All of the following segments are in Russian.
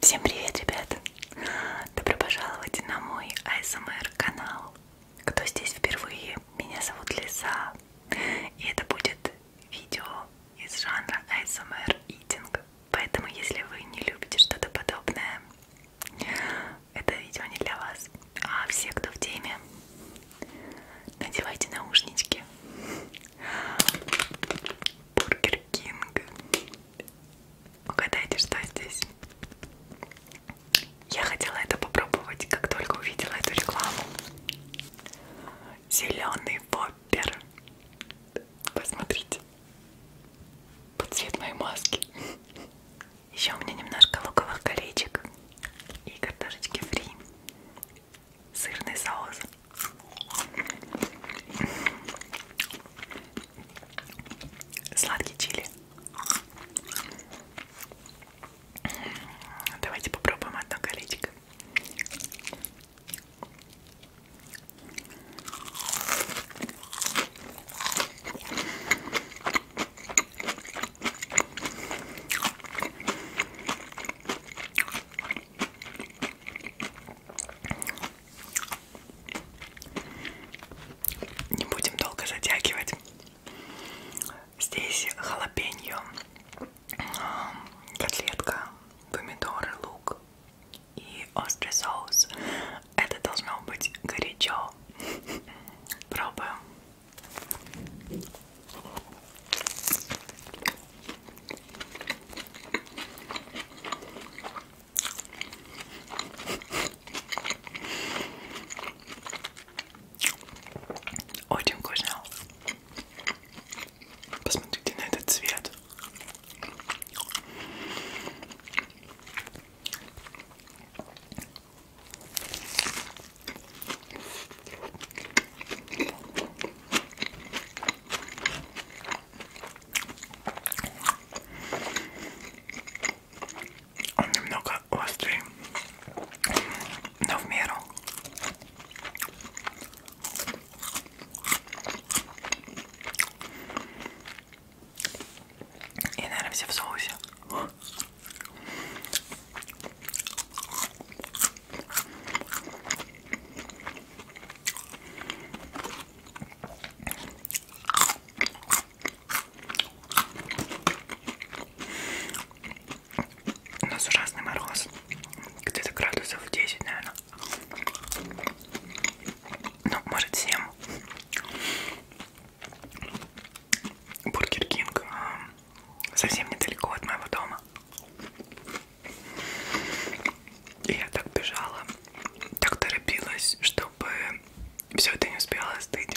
Всем привет, ребят! Добро пожаловать на мой ASMR канал. Кто здесь впервые? Меня зовут Лиза. И это будет видео из жанра ASMR Eating. Поэтому, если вы не любите что-то подобное, это видео не для вас. А все, кто в теме, надевайте наушнички. Бургер Кинг. Угадайте, что здесь? Я хотела это попробовать, как только увидела эту рекламу. Зеленый воппер. Посмотрите. Под цвет моей маски. Еще у меня немножко луковых колечек и картошечки фри. Сырный соус. Сладкий чили. Давайте попробуем одно колечко. Не будем долго затягивать. Здесь халапеньо, котлетка, помидоры, лук и острый соус. Это должно быть горячо. Пробуем. Очень вкусно. Посмотрите на этот цвет. Он немного острый, но в меру. И, наверное, все в соусе. У нас ужасный мороз, где-то градусов 10, наверное. Ну, может 7. Бургер Кинг а, совсем недалеко от моего дома. И я так бежала, так торопилась, чтобы все это не успела остыть.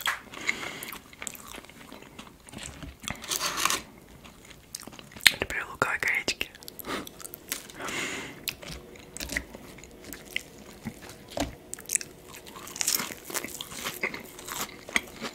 Люблю луковые коречки.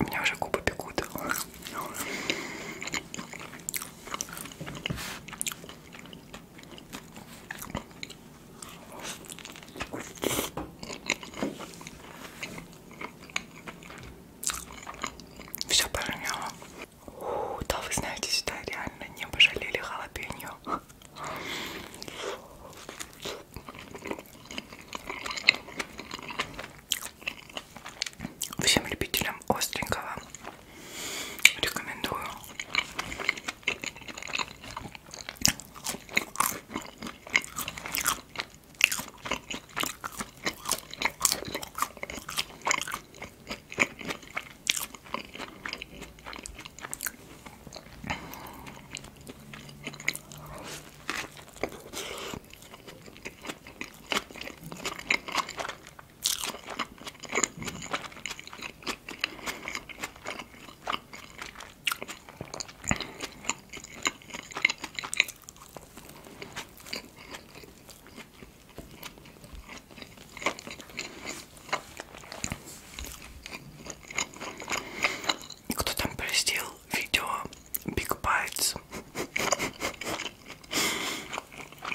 У меня уже губы бегут. Все пороняло. Да, вы знаете, сюда реально не пожалели халапеньо. Всем любителям остренького рекомендую. Кто там простил видео Big Bites?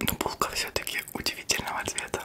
Но булка все-таки удивительного цвета.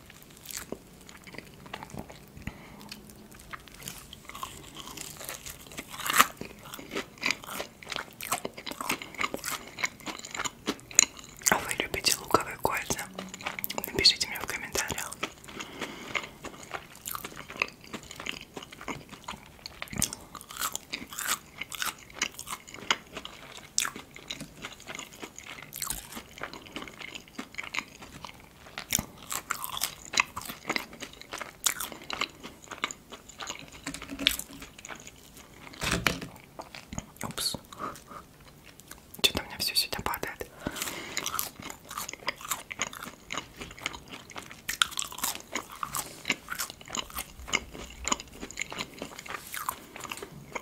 А вы любите луковые кольца? Напишите мне в комментариях. Упс. Что-то у меня все сюда падает.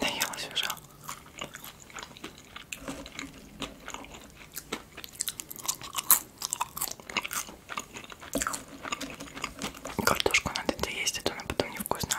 Наелась уже. Картошку надо доесть, а то она потом невкусная.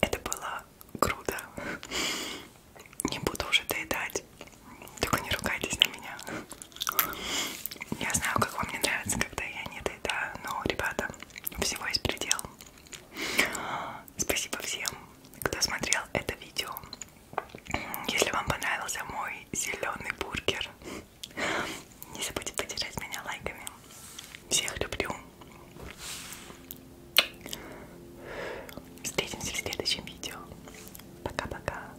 Это было круто. Не буду уже доедать. Только не ругайтесь на меня. Я знаю, как вам не нравится, когда я не доедаю, но, ребята, всего есть предел. Спасибо всем, кто смотрел это видео. Если вам понравился мой зеленый бургер, не забудьте поддержать меня лайками. Всех люблю. Встретимся в следующем видео. Пока-пока.